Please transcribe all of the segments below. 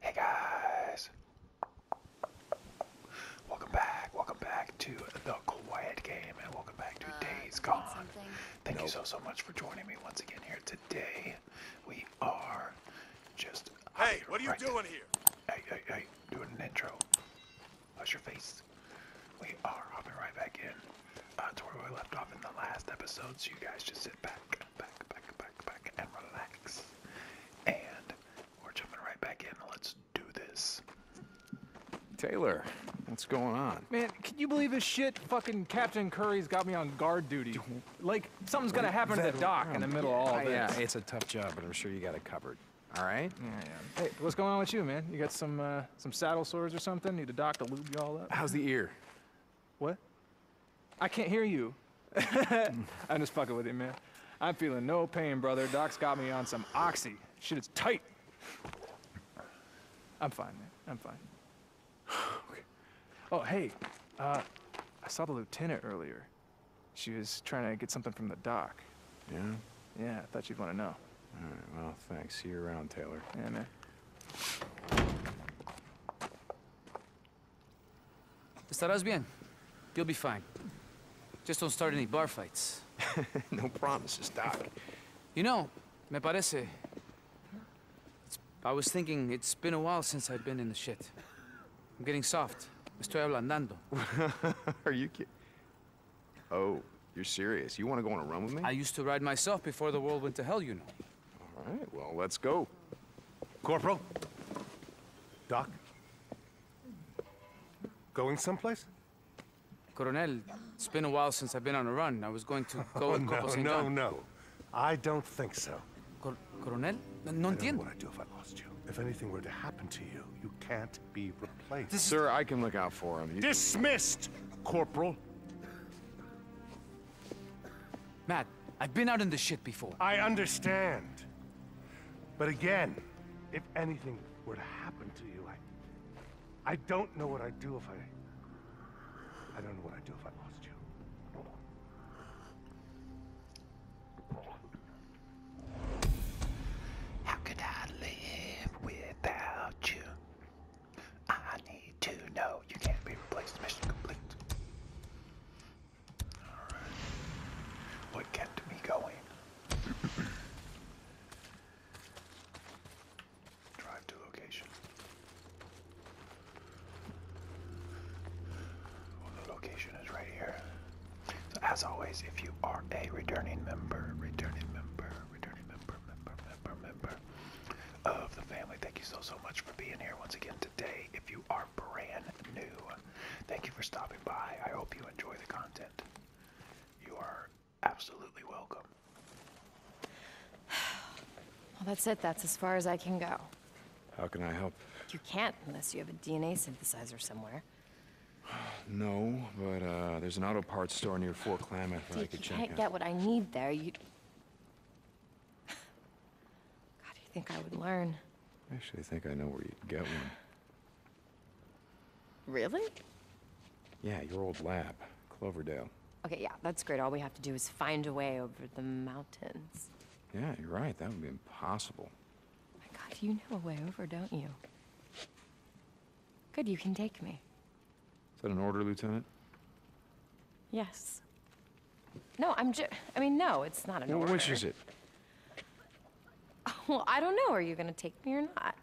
Hey guys! Welcome back, welcome back to The Quiet Game, and welcome back to uh, Days Gone. Thank you so, so much for joining me once again here today. We are just... Hey, what are you doing here? Hey, hey, doing an intro. Hush your face. We are hopping right back in uh, to where we left off in the last episode, so you guys just sit back, back, back, back, back, and relax. And we're jumping right back in. Let's do this. Taylor, what's going on? Man, can you believe this shit? Fucking Captain Curry's got me on guard duty. Like, something's gonna happen to the dock in the middle of all this. Yeah, it's a tough job, but I'm sure you got it covered. All right. Yeah, Hey, what's going on with you, man? You got some uh, some saddle sores or something? Need a doc to lube you all up? How's the ear? What? I can't hear you. I'm just fucking with you, man. I'm feeling no pain, brother. Doc's got me on some oxy. Shit is tight. I'm fine, man. I'm fine. Oh, hey. Uh, I saw the lieutenant earlier. She was trying to get something from the doc. Yeah? Yeah, I thought you'd want to know. All right, well, thanks. See you around, Taylor. Yeah, man. Estarás bien. You'll be fine. Just don't start any bar fights. no promises, Doc. You know, me parece... I was thinking it's been a while since i have been in the shit. I'm getting soft. Estoy ablandando. Are you kidding? Oh, you're serious. You want to go on a run with me? I used to ride myself before the world went to hell, you know. All right, well, let's go. Corporal? Doc? Going someplace? Coronel, it's been a while since I've been on a run. I was going to go oh, no, No, no, I don't think so. Cor Coronel? No entiendo. I don't what I'd do if I lost you. If anything were to happen to you, you can't be replaced. Sir, I can look out for him. Dismissed, Corporal. Matt, I've been out in the shit before. I understand. But again, if anything were to happen to you, I... I don't know what I'd do if I... I don't know what I'd do if I lost you. How could I live without you? I need to know you can't be replaced. Mission complete. Alright. What kept me going? Drive to location. the location is right here. So as always, if you are a returning member, returning member, returning member, member, member, member of the family, thank you so, so much for being here once again today. If you are brand new. Thank you for stopping by. I hope you enjoy the content. You are absolutely welcome. Well, that's it. That's as far as I can go. How can I help? You can't unless you have a DNA synthesizer somewhere. No, but uh, there's an auto parts store near Fort Klamath where Dude, I could check out. You can't get what I need there. You, God, you think I would learn? I actually think I know where you'd get one. Really? Yeah, your old lab, Cloverdale. Okay, yeah, that's great. All we have to do is find a way over the mountains. Yeah, you're right. That would be impossible. my God, you know a way over, don't you? Good, you can take me. Is that an order, Lieutenant? Yes. No, I'm just. I mean, no, it's not an No, order. Which is it? Well, I don't know. Are you going to take me or not?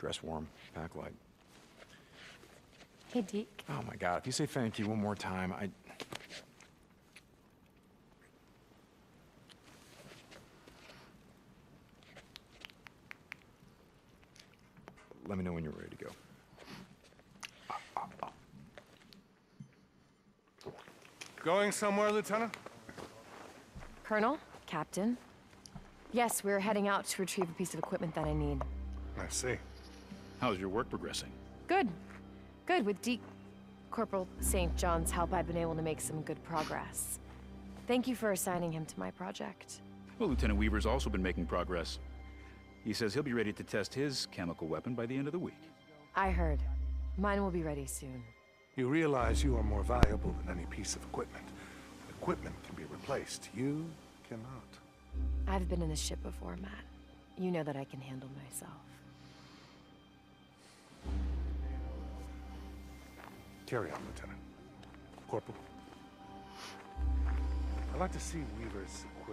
Dress warm, pack light. Hey, Deke. Oh, my God. If you say thank you one more time, I... Let me know when you're ready to go. Going somewhere, Lieutenant? Colonel? Captain? Yes, we're heading out to retrieve a piece of equipment that I need. I see. How's your work progressing? Good. Good. With Deke Corporal St. John's help, I've been able to make some good progress. Thank you for assigning him to my project. Well, Lieutenant Weaver's also been making progress. He says he'll be ready to test his chemical weapon by the end of the week. I heard. Mine will be ready soon. You realize you are more valuable than any piece of equipment. Equipment can be replaced. You cannot. I've been in this ship before, Matt. You know that I can handle myself. Carry on, Lieutenant. Corporal. I'd like to see Weaver's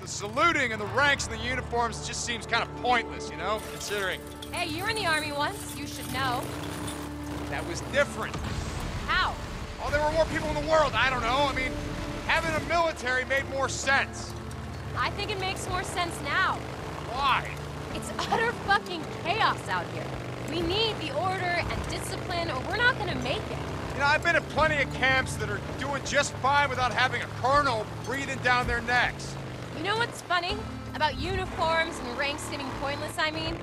the saluting and the ranks and the uniforms just seems kind of pointless, you know, considering. Hey, you were in the army once. You should know. That was different. How? Oh, there were more people in the world. I don't know. I mean, having a military made more sense. I think it makes more sense now. Why? It's utter fucking chaos out here. We need the order and discipline or we're not gonna make it. You know, I've been in plenty of camps that are doing just fine without having a colonel breathing down their neck. You know what's funny? About uniforms and ranks seeming pointless, I mean?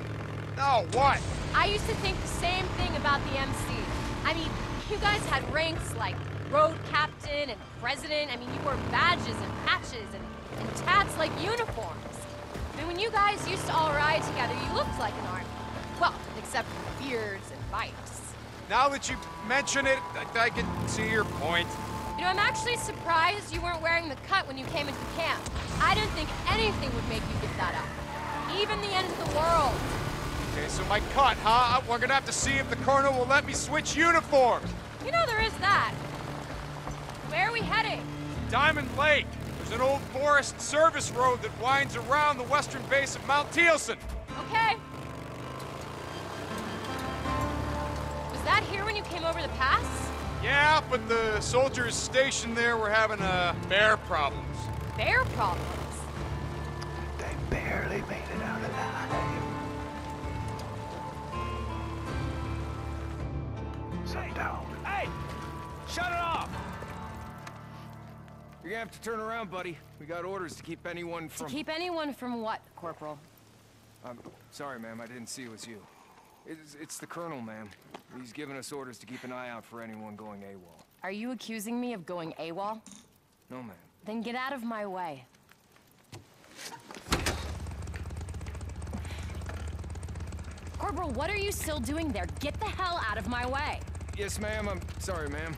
Oh, what? I used to think the same thing about the MC. I mean, you guys had ranks like road captain and president. I mean, you wore badges and patches and, and tats like uniforms. I mean, when you guys used to all ride together, you looked like an army. Well, except for beards and bikes. Now that you mention it, I, can see your point. You know, I'm actually surprised you weren't wearing the cut when you came into camp. I didn't think anything would make you give that up. Even the end of the world. Okay, so my cut, huh? Uh, we're gonna have to see if the colonel will let me switch uniforms. You know there is that. Where are we heading? Diamond Lake. There's an old forest service road that winds around the western base of Mount Tealson. Okay. Was that here when you came over the pass? Yeah, but the soldiers stationed there were having uh, bear problems. Bear problems? They barely made it out alive. Hey, hey! Shut it off! You're gonna have to turn around, buddy. We got orders to keep anyone from... To keep anyone from what, Corporal? I'm um, sorry, ma'am. I didn't see it was you. It's, the Colonel, ma'am. He's given us orders to keep an eye out for anyone going AWOL. Are you accusing me of going AWOL? No, ma'am. Then get out of my way. Corporal, what are you still doing there? Get the hell out of my way! Yes, ma'am. I'm sorry, ma'am.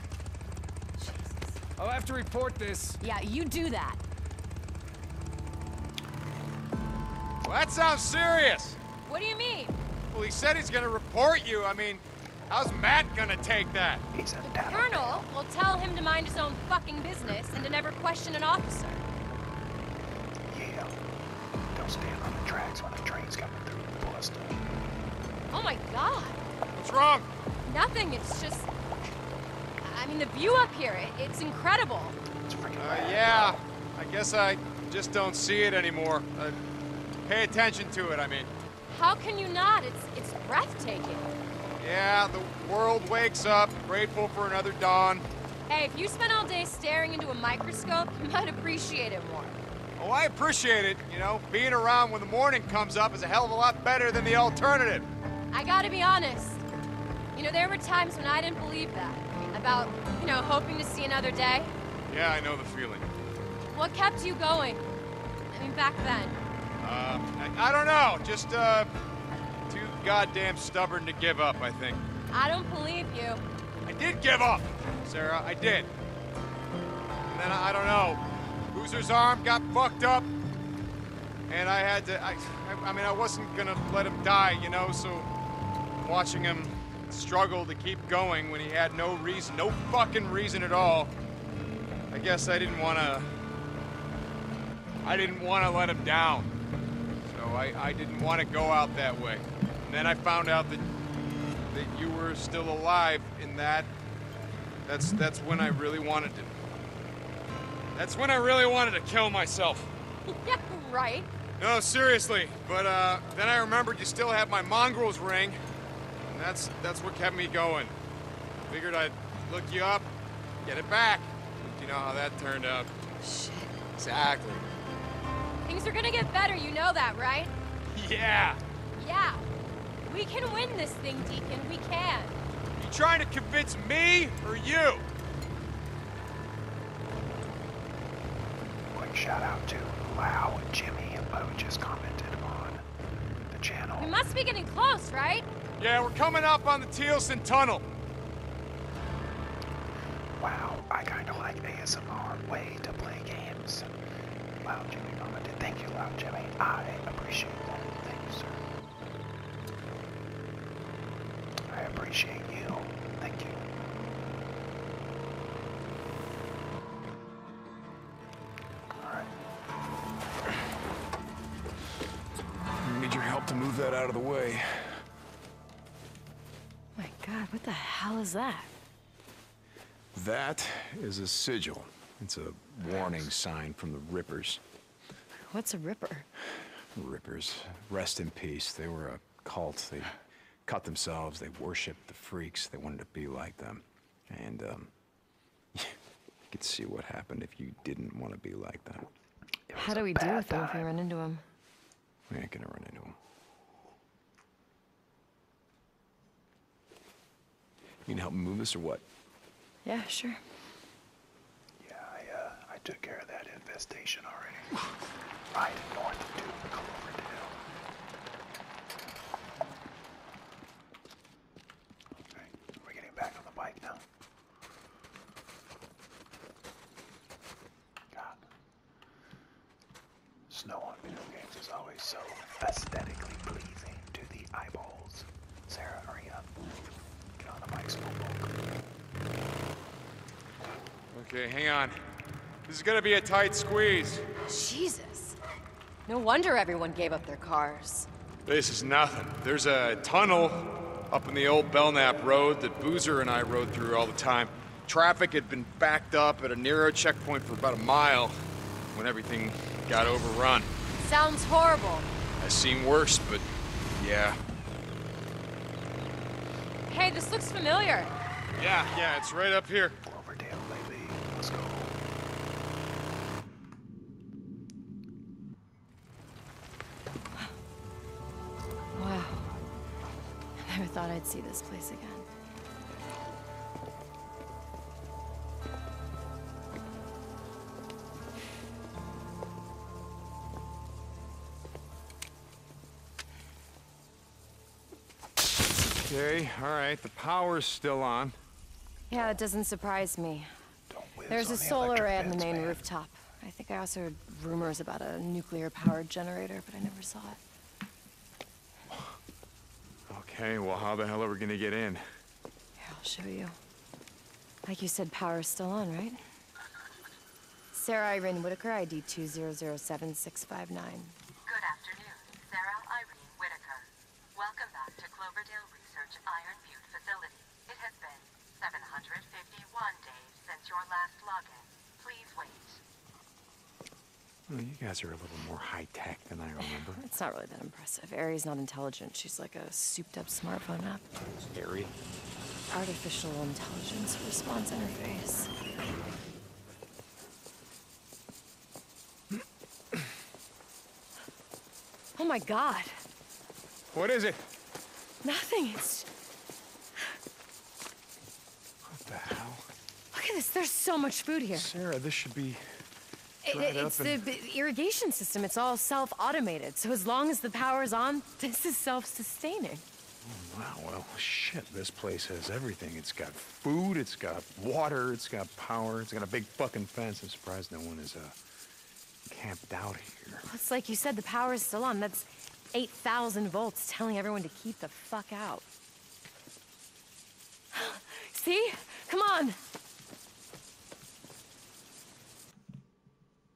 I'll have to report this. Yeah, you do that. that sounds serious. What do you mean? Well, he said he's gonna report you. I mean, how's Matt gonna take that? He's a the colonel will tell him to mind his own fucking business and to never question an officer. Yeah. Don't stand on the tracks when a train's coming through the bus. Oh my god. What's wrong? Nothing, it's just... I mean, the view up here, it's incredible. Uh, yeah, I guess I just don't see it anymore. Uh, pay attention to it, I mean. How can you not? It's, it's breathtaking. Yeah, the world wakes up, grateful for another dawn. Hey, if you spent all day staring into a microscope, you might appreciate it more. Oh, I appreciate it. You know, being around when the morning comes up is a hell of a lot better than the alternative. I gotta be honest. You know, there were times when I didn't believe that. About, you know, hoping to see another day. Yeah, I know the feeling. What kept you going? I mean, back then. Uh, I, don't know. Just, uh, too goddamn stubborn to give up, I think. I don't believe you. I did give up, Sarah. I did. And then, I, don't know. Booser's arm got fucked up and I had to, I, I mean, I wasn't gonna let him die, you know, so watching him struggle to keep going when he had no reason, no fucking reason at all, I guess I didn't wanna, I didn't wanna let him down. So I, I didn't wanna go out that way. And then I found out that, that you were still alive in that, that's, that's when I really wanted to. That's when I really wanted to kill myself. yeah, right. No, seriously. But uh, then I remembered you still have my mongrel's ring. And that's, that's what kept me going. Figured I'd look you up, get it back. you know how that turned out. Shit. Exactly. Things are gonna get better, you know that, right? Yeah. Yeah. We can win this thing, Deacon. We can. you trying to convince me or you? Quick shout to Lau and Jimmy and just commented on the channel. We must be getting close, right? Yeah, we're coming up on the Teelson Tunnel. Wow, I kind of like ASMR way to play games. Loud Jimmy commented. Thank you, Loud Jimmy. I appreciate that. Thank you, sir. I appreciate you. Thank you. I Need your help to move that out of the way. My god, what the hell is that? That is a sigil. It's a warning sign from the Rippers. What's a ripper? Rippers. Rest in peace. They were a cult. They cut themselves. They worshipped the freaks. They wanted to be like them. And, um, you could see what happened if you didn't want to be like them. How do we deal with them if we run into them? We ain't gonna run into them. You mean to help me move this or what? Yeah, sure. Yeah, uh, I, took care of that infestation already. Right north to Cloverdale. Okay, we're getting back on the bike now. God. Snow on video games is always so aesthetically pleasing to the eyeballs. Sarah, hurry up. Get on the mic, Okay, hang on. This is gonna be a tight squeeze. Jesus. No wonder everyone gave up their cars. This is nothing. There's a tunnel up in the old Belknap Road that Boozer and I rode through all the time. Traffic had been backed up at a narrow checkpoint for about a mile when everything got overrun. Sounds horrible. I've seen worse, but yeah. Hey, this looks familiar. Yeah, yeah, it's right up here. Cloverdale, baby. Let's go. Wow. I never thought I'd see this place again. Okay, all right, the power's still on. Yeah, that doesn't surprise me. There's a solar array on the main rooftop. I think I also heard rumors about a nuclear-powered generator, but I never saw it. Okay, well, how the hell are we gonna get in? Here, I'll show you. Like you said, power is still on, right? Sarah Irene Whitaker, ID 2007659. Good afternoon, Sarah Irene Whitaker. Welcome back to Cloverdale Research Iron Butte facility. It has been 751 days since your last login. Please wait. Oh, you guys are a little more high-tech than I remember. it's not really that impressive. Ari's not intelligent. She's like a souped-up smartphone app app. Scary. Artificial intelligence response interface. oh my god. What is it? Nothing. It's. What the hell? Look at this. There's so much food here. Sarah, this should be. It, it's irrigation system, it's all self-automated. So as long as the power's on, this is self-sustaining. Oh, wow, well, shit, this place has everything. It's got food, it's got water, it's got power, it's got a big fucking fence. I'm surprised no one is, uh, camped out here. it's like you said, the power's still on. That's 8,000 volts telling everyone to keep the fuck out. See? Come on!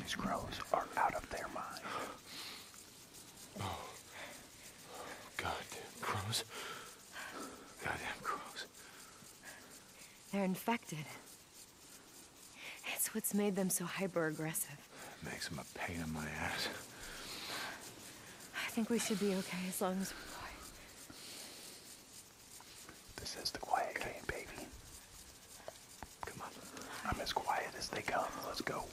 These crows are out of their minds. Oh. Goddamn crows. Goddamn crows. They're infected. It's what's made them so hyper-aggressive. Makes them a pain in my ass. I think we should be okay as long as we're quiet. This is the quiet game, baby. Come on. I'm as quiet as they come. Let's go.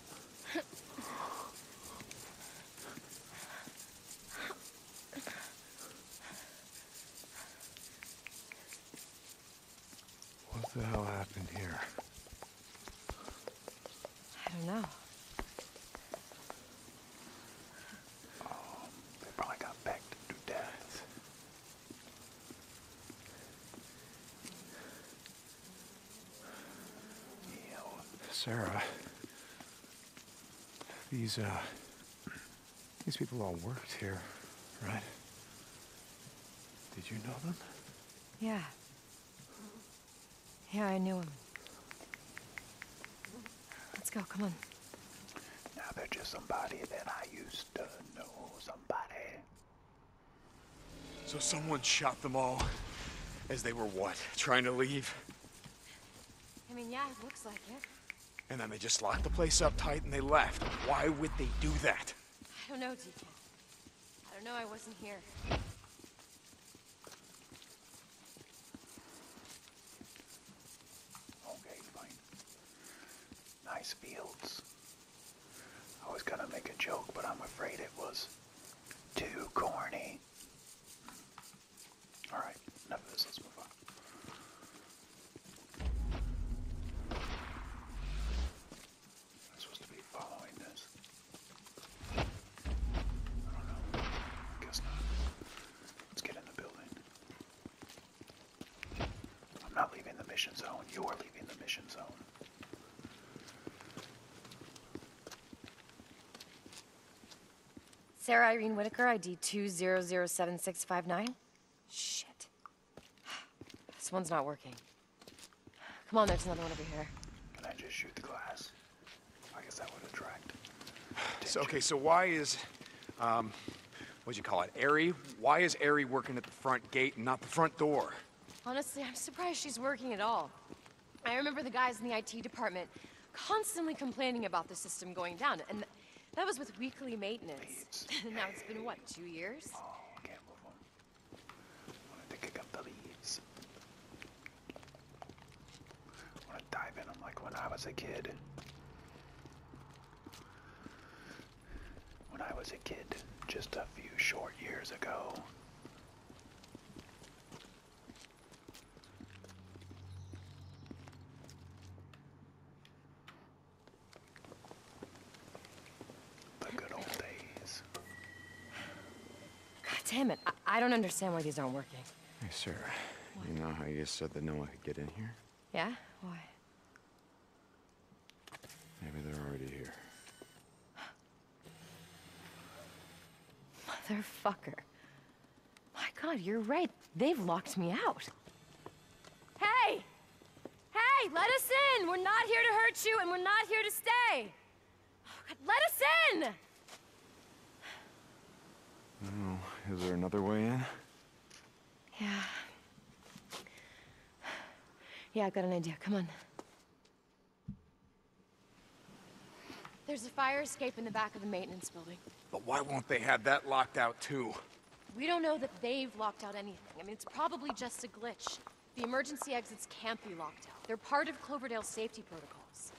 What the hell happened here? I don't know. Oh, they probably got pecked to death. Sarah, these, uh, these people all worked here, right? Did you know them? Yeah. Yeah, I knew them. Let's go, come on. Now they're just somebody that I used to know, somebody so someone shot them all as they were what? Trying to leave? I mean, yeah, it looks like it. And then they just locked the place up tight and they left. Why would they do that? I don't know, Deacon. I don't know, I wasn't here. Okay, fine nice fields. I was gonna make a joke, but I'm afraid it was too corny. Alright, enough of move on. I'm supposed to be following this. I don't know. guess not. Let's get in the building. I'm not leaving the mission zone. You're leaving the mission zone. Sarah Irene Whitaker, ID 2007659. Shit. This one's not working. Come on, there's another one over here. Can I just shoot the glass? I guess that would attract. So, okay, so why is, um, what'd you call it, Airy? Why is Airy working at the front gate and not the front door? Honestly, I'm surprised she's working at all. I remember the guys in the IT department constantly complaining about the system going down, and that was with weekly maintenance. now it's been, what, two years? Oh, okay, hold on. want to kick up the leaves. want to dive in like when I was a kid when I was a kid just a few short years ago. The good old days. God damn it. I, don't understand why these aren't working. Hey, sir. You know how you said that no one could get in here? Yeah? Why? Maybe they're already here. Motherfucker. My god, you're right. They've locked me out. Hey! Hey, let us in! We're not here to hurt you, and we're not here to stay! Oh god, let us in! Oh, is there another way in? Yeah. Yeah, I got an idea. Come on. There's a fire escape in the back of the maintenance building. But why won't they have that locked out too? We don't know that they've locked out anything. I mean, it's probably just a glitch. The emergency exits can't be locked out. They're part of Cloverdale's safety protocols.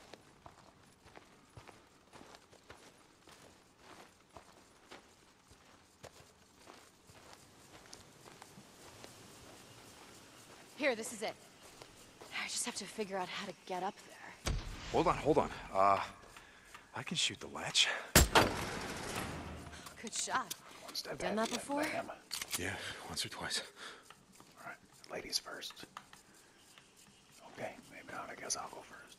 Here, this is it. I just have to figure out how to get up there. Hold on, hold on. Uh, I can shoot the latch. Good shot. One step Done that before? Yeah, once or twice. All right, ladies first. Okay, maybe not. I guess I'll go first.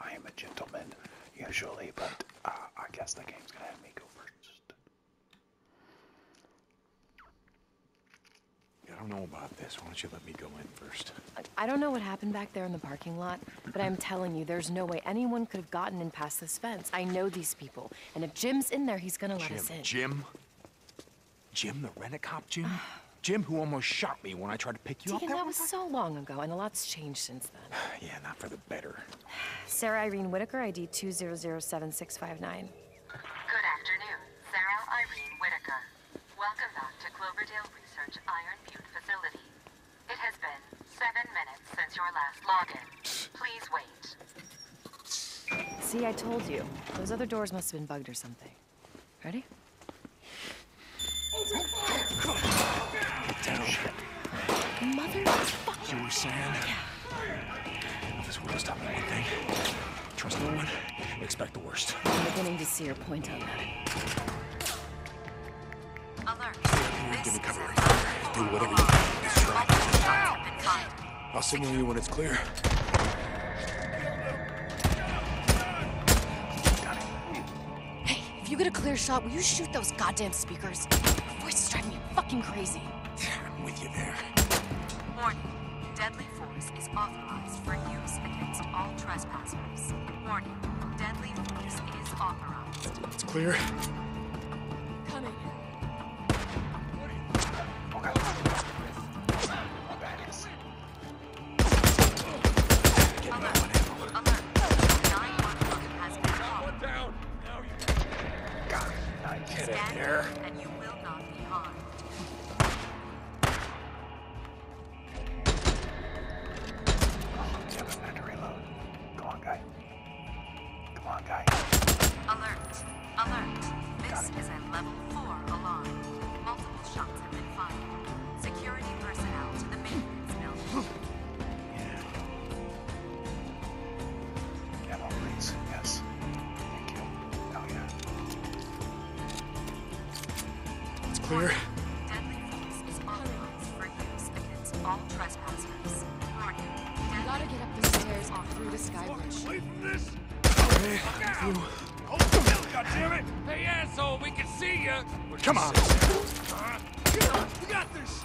I am a gentleman, usually, but uh, I guess the game's gonna have me go first. I don't know about this. Why don't you let me go in first? I don't know what happened back there in the parking lot, but I'm telling you, there's no way anyone could have gotten in past this fence. I know these people, and if Jim's in there, he's gonna let us in. Jim? Jim, the rent-a-cop Jim? Jim, who almost shot me when I tried to pick you up. Deacon, that was so long ago, and a lot's changed since then. yeah, not for the better. Sarah Irene Whitaker, ID 2007659. Good afternoon. Sarah Irene Whitaker. Welcome back to Cloverdale Research Iron Butte facility. It has been seven minutes since your last login. Please wait. See, I told you. Those other doors must have been bugged or something. Ready? Mother You were saying? This world has taught me one Trust no one, expect the worst. I'm beginning to see your point on that. Alert. Give me cover Do whatever you can. Distract. I'll signal you when it's clear. Hey, if you get a clear shot, will you shoot those goddamn speakers. Your voices drive me fucking crazy. I'm with you there. Warning. Deadly force is authorized for use against all trespassers. Warning. Deadly force is authorized. It's clear. Coming. Alert. Alert. Alert. Nine one has been down. Now Got Stand it And you will not be harmed. Oh, have a minute to reload. Come on, guy. Come on, guy. Alert. Alert. This is a level 4 alarm. Multiple shots have been fired. Security personnel to the main building. Yeah. Ammo, please. Yes. Thank you. Oh, yeah. It's clear. Deadly force is authorized for use against all trespassers. Warning. gotta get up the stairs off through the sky Away from this! Okay, I'm through. Hold still, Hey, asshole, we can see you! Come on! Uh, got this!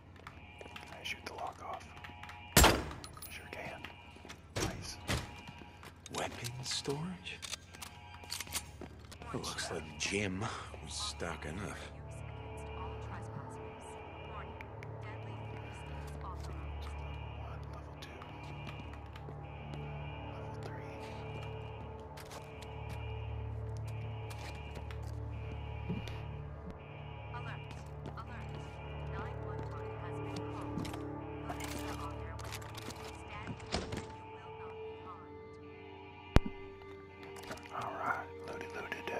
Can I shoot the lock off? Sure can. Nice. Weapons storage? It looks like Jim was stocking enough. Alright, looty looted uh,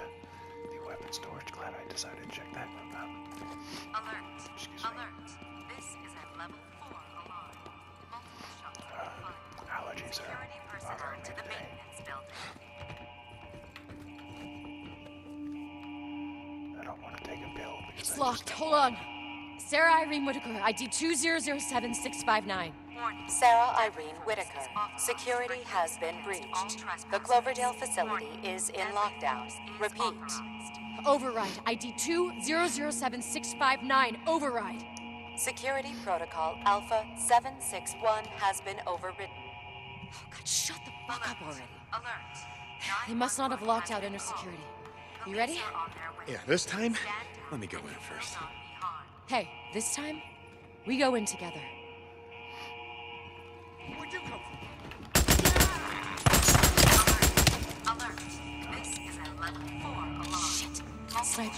the weapon storage. Glad I decided to check that one out. Alert! Excuse Alert! Me. This is at level 4 alarm. Multiple shots uh, Allergies Security are personnel to the today. maintenance building. It's locked. Hold on. Sarah Irene Whitaker, ID 2007659. Sarah Irene Whitaker. Security has been breached. The Cloverdale facility is in lockdown. Repeat. Override. ID 2007 Override. Security Protocol Alpha 7 Six one has been overridden. Oh, God, shut the fuck up already. Alert. They must not have locked out inner security. You ready? Yeah, this time, let me go in first. Hey, this time, we go in together. Alert. Alert. This is a level 4 alarm. Shit.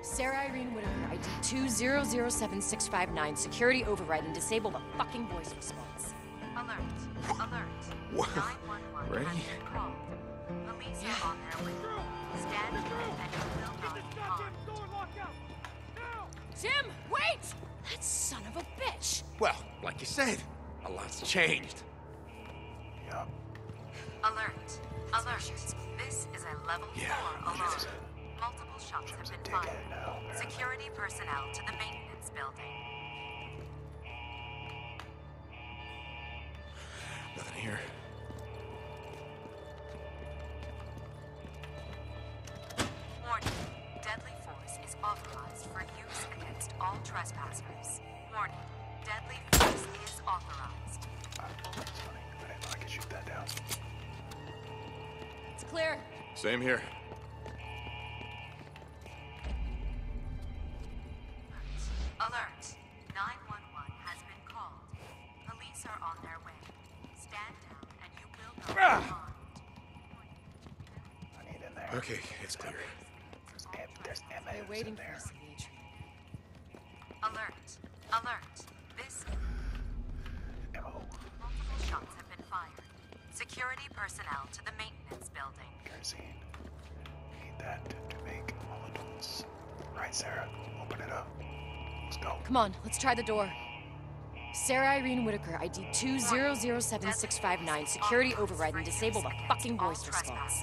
Sarah Irene Whitaker, ID 2007659. Security override and disable the fucking voice response. Alert. Alert. What? Ready? Police yeah. are on their way. Stand and will not harm. Jim, wait! That son of a bitch! Well, like you said, a lot's changed. Yep. Alert. Alert. This is a level yeah, 4 alert. Multiple shots have been fired. Now, Security personnel to the maintenance building. Nothing here. Warning. Deadly force is authorized for use against all trespassers. Warning. Deadly force is authorized. It's clear. Same here. Alert. 911 has been called. Police are on their way. Stand down and you will not ah! I need in there. Okay, it's clear. There's, M there's there. Alert. Alert! This... Multiple shots have been fired. Security personnel to the maintenance building. Kerosene. Need that to make molotovs. Right, Sarah. Open it up. Let's go. Come on, let's try the door. Sarah Irene Whitaker, ID 2007659, security override and disable the fucking voice response.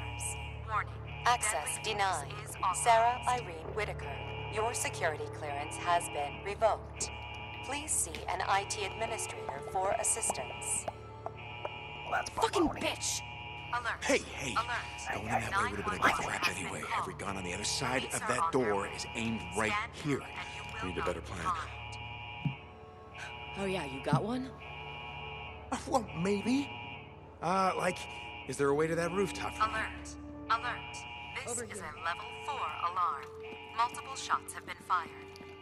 Access denied. Sarah Irene Whitaker. Your security clearance has been revoked. Please see an IT administrator for assistance. Well, Fucking bitch! Alert. Hey, hey! Alert. Going in that way would have been a crap eh? anyway. Every gun on the other side of that door is aimed right here. We need a better plan. Oh yeah, you got one? Uh, well, maybe. Uh, like, is there a way to that rooftop? Alert! This is a level 4 alarm. Multiple shots have been fired.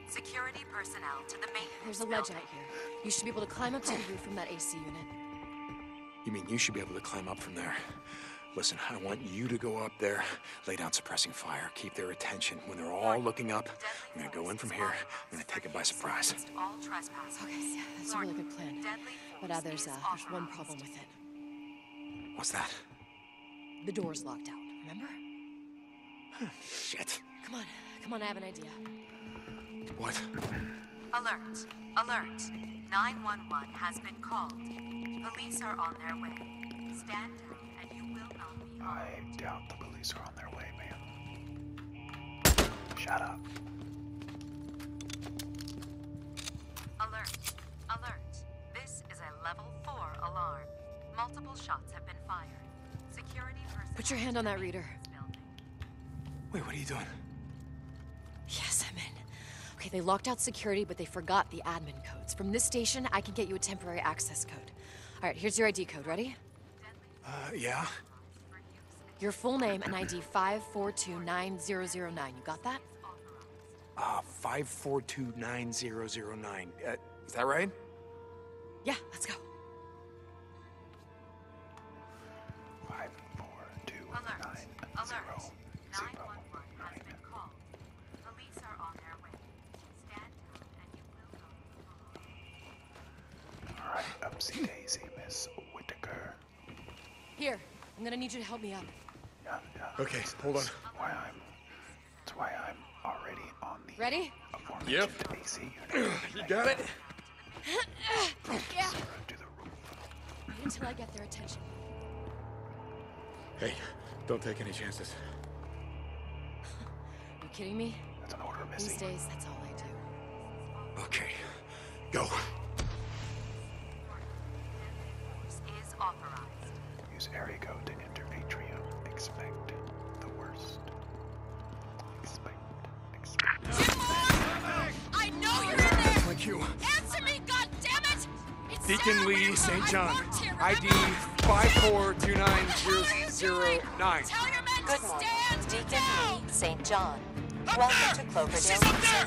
Security personnel to the main. There's a ledge building. out here. You should be able to climb up to the roof from that AC unit. You mean you should be able to climb up from there? Listen, I want you to go up there, lay down suppressing fire, keep their attention. When they're all looking up, I'm gonna go in from here. I'm gonna take it by surprise. What's that? The door's locked out, remember? Shit. Come on, come on, I have an idea. What? Alert, alert. 911 has been called. Police are on their way. Stand down and you will not be I doubt the police are on their way, man. Shut up. Alert. Alert. This is a level 4 alarm. Multiple shots have been fired. Security person... Put your hand on that reader. Wait, what are you doing? Yes, I'm in. Okay, they locked out security, but they forgot the admin codes. From this station, I can get you a temporary access code. All right, here's your ID code. Ready? Uh, yeah. Your full name and ID 5429009. You got that? Uh, ah, 5429009. Uh, is that right? Yeah, let's go. Five, four, two, 911 has been called. Police are on their way. Stand down and you will go. Alright, upsy daisy, Miss Whitaker. Here, I'm gonna need you to help me up. Yeah, Okay, that's, hold that's on. Why I'm, that's why I'm already on the. Ready? Yep. you got it. yeah. Wait until I get their attention. Hey, don't take any chances. you kidding me? That's an order, Missy. These days, that's all I do. Okay, go. Access authorized. Use area code to enter atrium. Expect the worst. Expect. Expect. No. I know you're in there. That's like you. Answer me, goddammit! It's Deacon Sarah Lee St. John. ID five four two nine zero zero nine. Good morning, Deacon Lee St. John. Welcome to Cloverdale.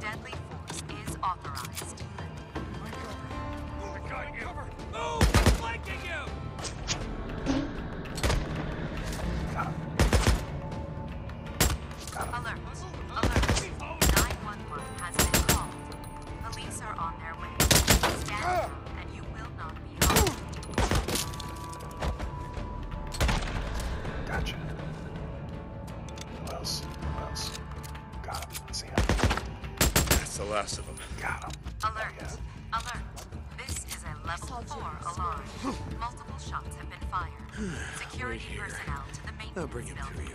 Deadly force is authorized. cover. Move! flanking you! Alert. Alert. 911 has been called. Police are on their way. Stand down and you will not be harmed. Gotcha. What else? What else? Got him. I see him. That's the last of them. Got him. Alert. Alert. This is a level 4 alarm. Multiple shots have been fired. Security personnel to the maintenance I'll bring him building. you.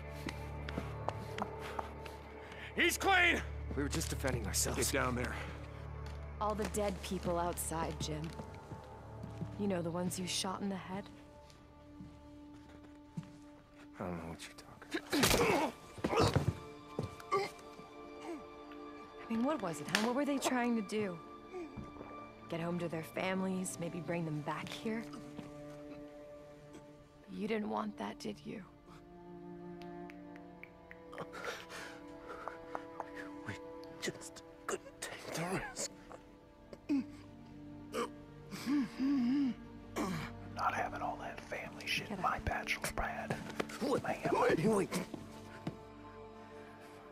He's clean! We were just defending ourselves. Get down there. All the dead people outside, Jim. You know, the ones you shot in the head? I don't know what you're talking I mean, what was it, huh? What were they trying to do? Get home to their families, maybe bring them back here? You didn't want that, did you? We just couldn't take the risk. Not having all that family shit in my bachelor, Brad. Man, wait, wait.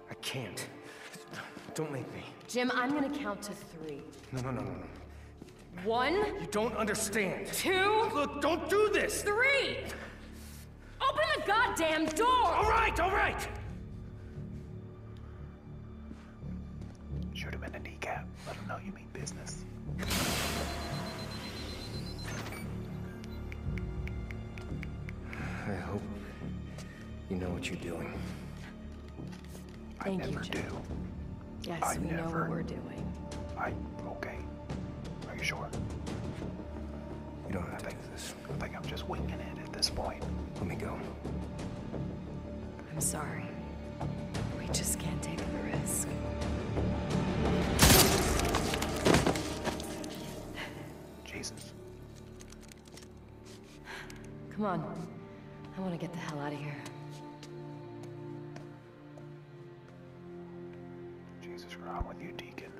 I can't. Don't make me. Jim, I'm gonna count to three. No, no, no, no, no. One. You don't understand. Two. Look, don't do this. Three. Open the goddamn door. All right, all right. Shoot him in a kneecap. Let him know you mean business. I hope you know what you're doing. Thank I never you, General. do. Yes, we know what we're doing. I okay. Are you sure? You don't have to think, do this. I think I'm just winging it at this point. Let me go. I'm sorry. We just can't take the risk. Jesus. Come on. I want to get the hell out of here. Jesus, wrong with you, Deacon.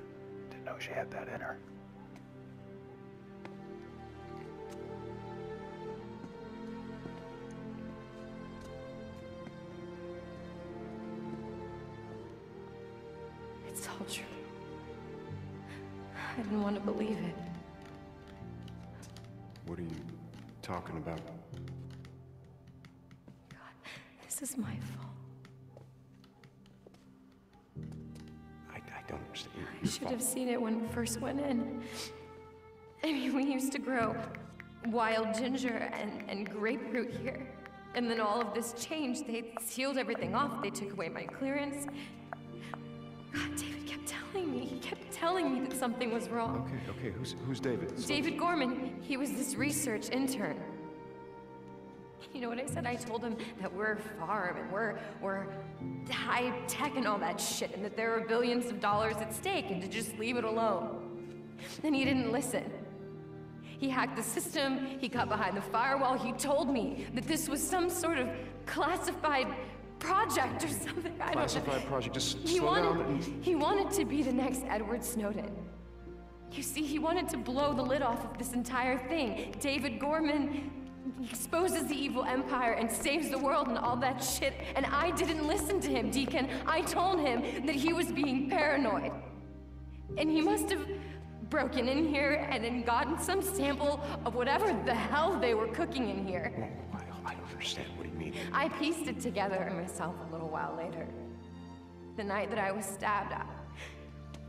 Didn't know she had that in her. It's all true. I didn't want to believe it. What are you talking about? God, this is my fault. I, don't understand. Your, your I should have seen it when we first went in. I mean, we used to grow wild ginger and, and grapefruit here. And then all of this changed. They sealed everything off. They took away my clearance. God, David kept telling me. He kept telling me that something was wrong. Okay, okay, who's, who's David? David Gorman. He was this research intern. You know what I said? I told him that we're farm and we're, we're high tech and all that shit, and that there are billions of dollars at stake, and to just leave it alone. Then he didn't listen. He hacked the system, he got behind the firewall, he told me that this was some sort of classified project or something. I Classified project. Just he slow down. He wanted to be the next Edward Snowden. You see, he wanted to blow the lid off of this entire thing. David Gorman exposes the evil empire and saves the world and all that shit, and I didn't listen to him, Deacon. I told him that he was being paranoid. And he must have broken in here and then gotten some sample of whatever the hell they were cooking in here. I, don't understand. What you mean? I pieced it together myself a little while later. The night that I was stabbed,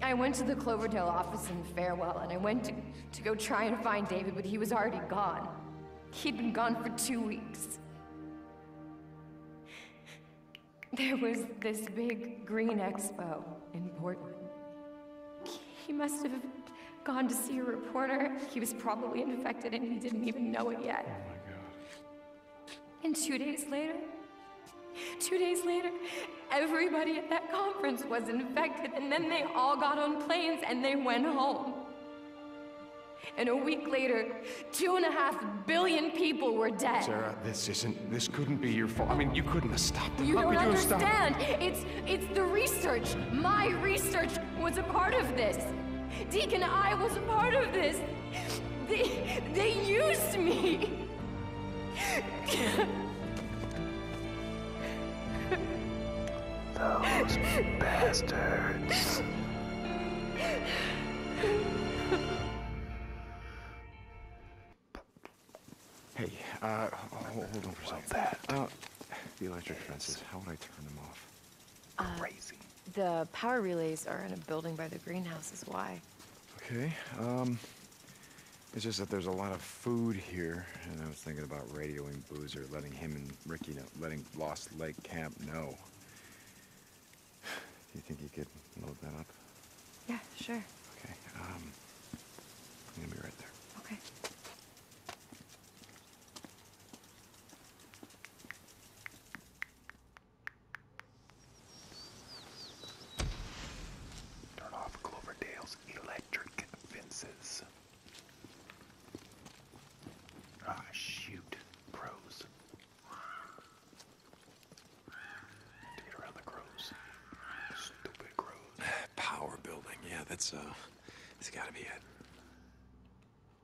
I, went to the Cloverdale office in Farewell, and I went to, go try and find David, but he was already gone. He'd been gone for two weeks. There was this big green expo in Portland. He must have gone to see a reporter. He was probably in and he didn't even know it yet. Oh and two days later, two days later, everybody at that conference was infected, and then they all got on planes and they went home. And a week later, two and a half billion people were dead. Sarah, this isn't. This couldn't be your fault. I mean, you couldn't have stopped them. You don't understand. It's it's the research. My research was a part of this. Deacon I was a part of this. They, they used me. Those bastards. Hey, uh, hold on for a second. that? Uh, the electric fences, how would I turn them off? Uh, the power relays are in a building by the greenhouse is why. Okay, um, It's just that there's a lot of food here, and I was thinking about radioing Boozer, letting him and Ricky know, letting Lost Lake Camp know. Do you think you could load that up? Yeah, sure. Okay, I'm um, gonna be right there. Okay. Turn off Cloverdale's electric fences. Ah, shoot. Crows. To get around the crows. Stupid crows. Power building. Yeah, that's, uh, it's gotta be it.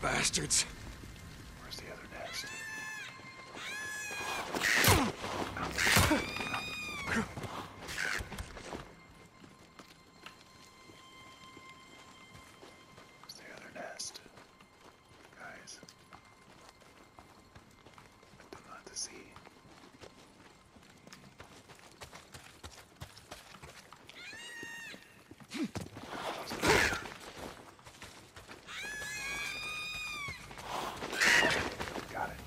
bastards. Where's the other nest? Guys. I do not see. Got it.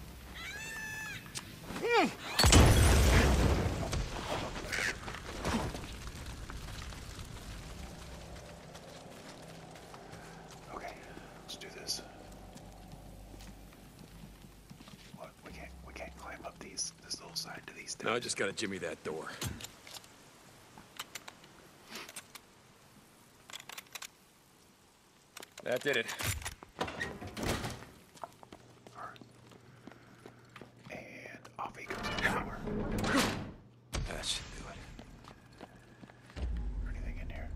Okay, let's do this. Look, we can't we can't climb up these this I just gotta jimmy that door. That did it. And off he goes everywhere. That should do it. Anything in here?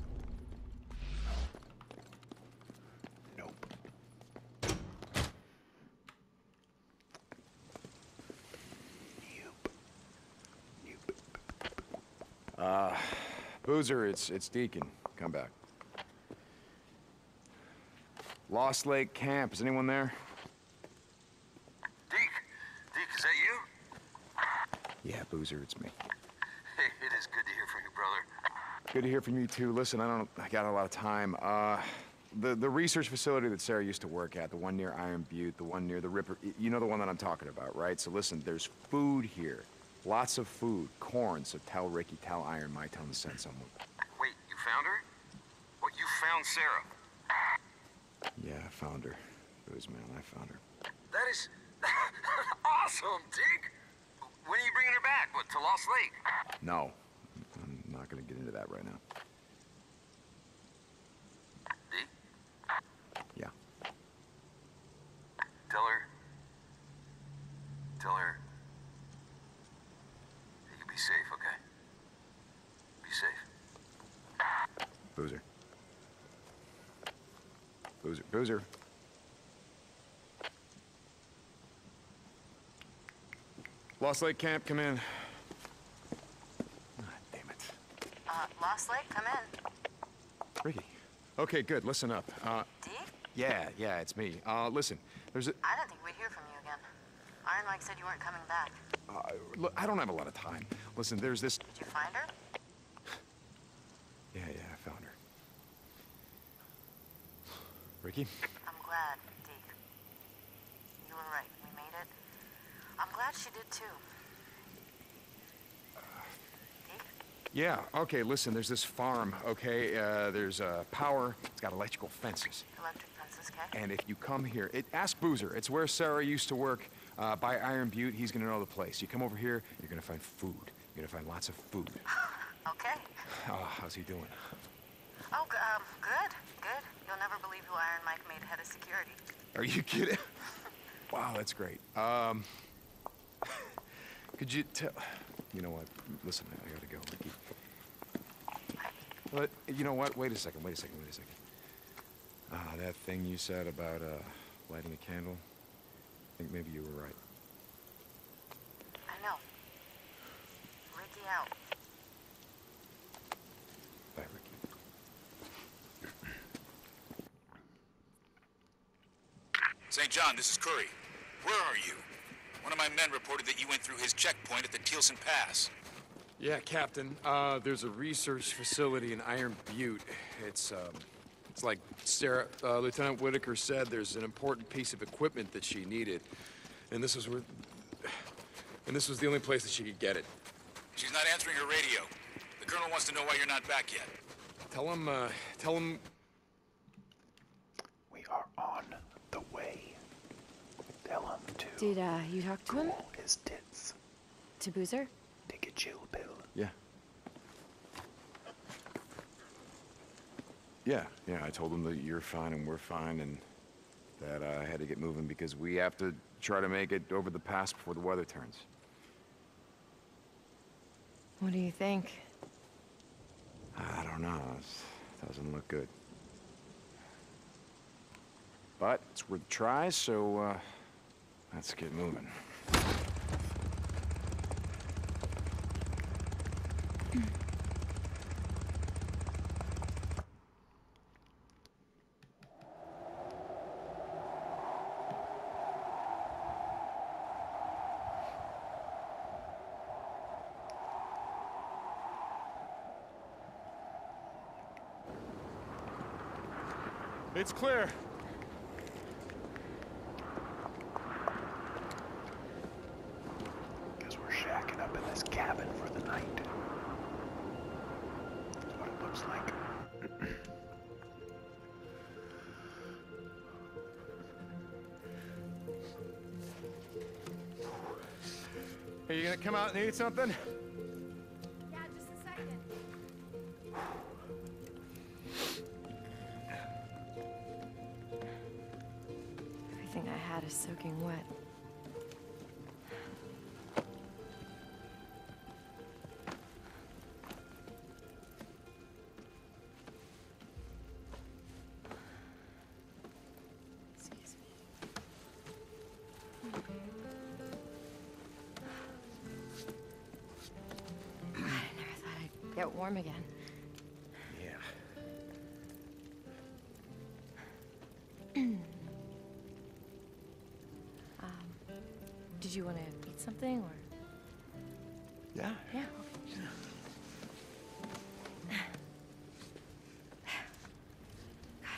Nope. Uh, Boozer, it's, it's Deacon. Come back. Lost Lake Camp. Is anyone there? Deke? Deke, is that you? Yeah, Boozer, it's me. it is good to hear from you, brother. Good to hear from you, too. Listen, I don't... I got a lot of time. Uh the, the research facility that Sarah used to work at, the one near Iron Butte, the one near the Ripper, you know the one that I'm talking about, right? So listen, there's food here. Lots of food, corn, so tell Ricky, tell Iron my tell him to send Wait, you found her? What, you found Sarah? Yeah, I found her. It was man, I found her. That is awesome, Dig! When are you bringing her back? What, to Lost Lake? No, I'm not gonna get into that right now. Yeah. Tell her. Tell her. You be safe, okay? Be safe. Boozer. Boozer. Boozer. Lost Lake Camp, come in. Ah, damn it. Uh, Lost Lake, come in. Ricky. Okay, good. Listen up. Uh, Yeah, yeah, it's me. Uh, listen, there's a... I don't think we'd hear from you again. Iron Mike said you weren't coming back. Uh, look, I don't have a lot of time. Listen, there's this... Did you find her? yeah, yeah, I found her. Ricky? I'm glad, Deke. You were right. We made it. I'm glad she did too. Yeah, okay, listen, there's this farm, okay? Uh, there's a power, it's got electrical fences. Electric fences, okay. And if you come here, ask Boozer. It's where Sarah used to work uh, by Iron Butte. He's gonna know the place. You come over here, you're gonna find food. You're gonna find lots of food. okay. Ah, how's he doing? Oh, um, good, good. You'll never believe who Iron Mike made head of security. Are you kidding? wow, that's great. Um, could you tell? You know what? Listen, I gotta go, Ricky. But you know what? Wait a second. Wait a second. Wait a second. Ah, that thing you said about uh, lighting a candle. I think maybe you were right. I know. Ricky out. St. John, this is Curry. Where are you? One of my men reported that you went through his checkpoint at the Teelson Pass. Yeah, Captain. Uh, there's a research facility in Iron Butte. It's, um, it's like Sarah, uh, Lieutenant Whitaker said, there's an important piece of equipment that she needed. And this was where... And this was the only place that she could get it. She's not answering her radio. The Colonel wants to know why you're not back yet. Tell him, uh, tell him... We are on the way. Tell him to... Did, uh, you talk to cool him? his tits. To Boozer? Take a chill pill. Yeah. Yeah, yeah, I told him that you're fine and we're fine and that uh, I had to get moving because we have to try to make it over the pass before the weather turns. What do you think? I don't know. doesn't look good. But it's worth a try, so uh, let's get moving. Hmm. It's clear we're shacking up in this cabin for the night. looks like. Are you gonna come out and eat something? Yeah, just a second. Everything I had is soaking wet. I I'd never thought get warm again. Yeah. Um, did you want to eat something or? Yeah. Yeah. God,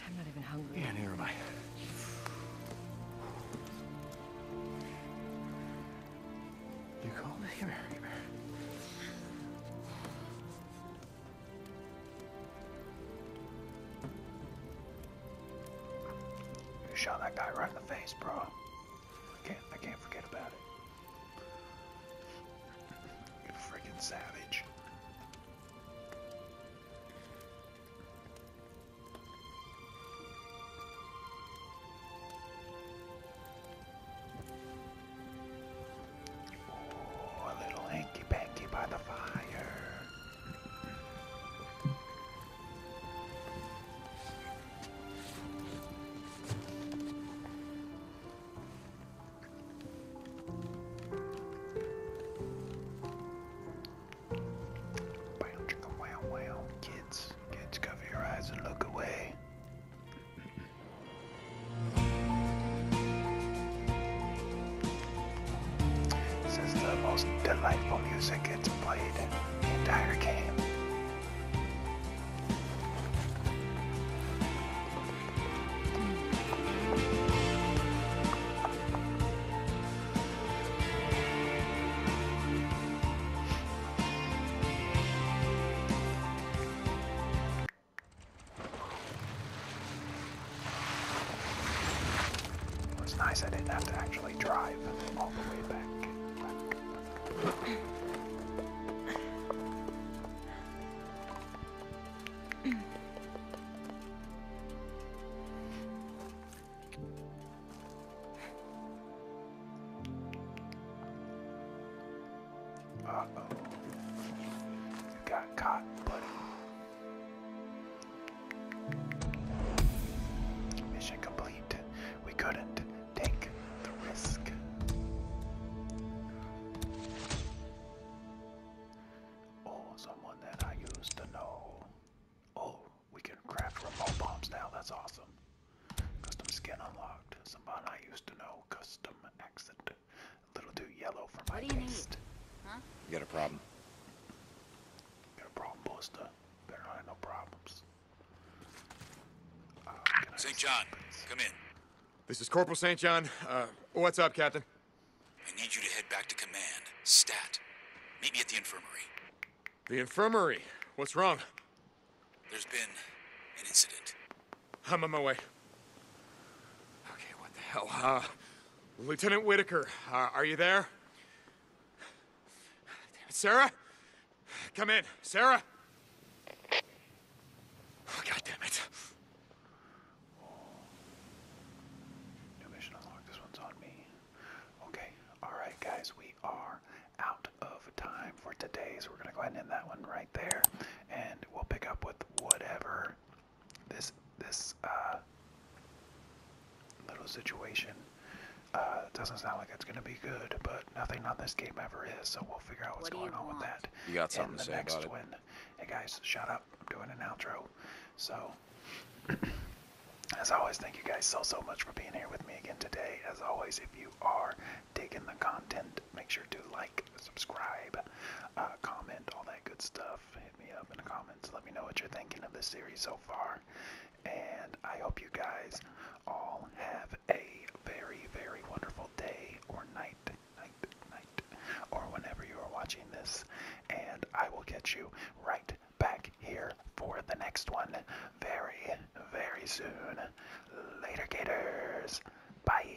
I'm not even hungry. Yeah, neither am I. You called here, here. You shot that guy right in the face, bro. I can't I can't forget about it. You freaking savage a little hanky panky by the fire. Wow, wow, wow. Kids, kids, cover your eyes and look away. This is the most delightful music It's played the entire game. It was nice I didn't have to actually drive all the way back. back. Uh oh. You got caught, buddy. Mission complete. We couldn't take the risk. Oh, someone that I used to know. Oh, we can craft remote bombs now. That's awesome. Custom skin unlocked. Someone I used to know. Custom accent little too yellow for my taste. You got a problem? Got a problem, Buster. Better not no problems. Uh, St. John, come in. This is Corporal St. John. Uh, what's up, Captain? I need you to head back to command. Stat. Meet me at the infirmary. The infirmary? What's wrong? There's been an incident. I'm on my way. Okay, what the hell? Uh, Lieutenant Whittaker, uh, are you there? Sarah? Come in. Sarah? Oh, God damn it. New mission unlocked. This one's on me. Okay. All right, guys. We are out of time for today, so we're going to go ahead and end that one right there. And we'll pick up with whatever this this uh, little situation uh, doesn't sound like it's going to be good, but nothing not this game ever is, so we'll figure out what's going on with that. You got something to say next about it. Win. Hey guys, shut up! I'm doing an outro. So, as always, thank you guys so so much for being here with me again today. As always, if you are digging the content, make sure to like, subscribe, uh, comment, all that good stuff hit me up in the comments. Let me know what you're thinking of this series so far. And I hope you guys all have a very, very wonderful day or night, night, night, or whenever you are watching this. And I will catch you right back here for the next one very, very soon. Later, Gators. bye.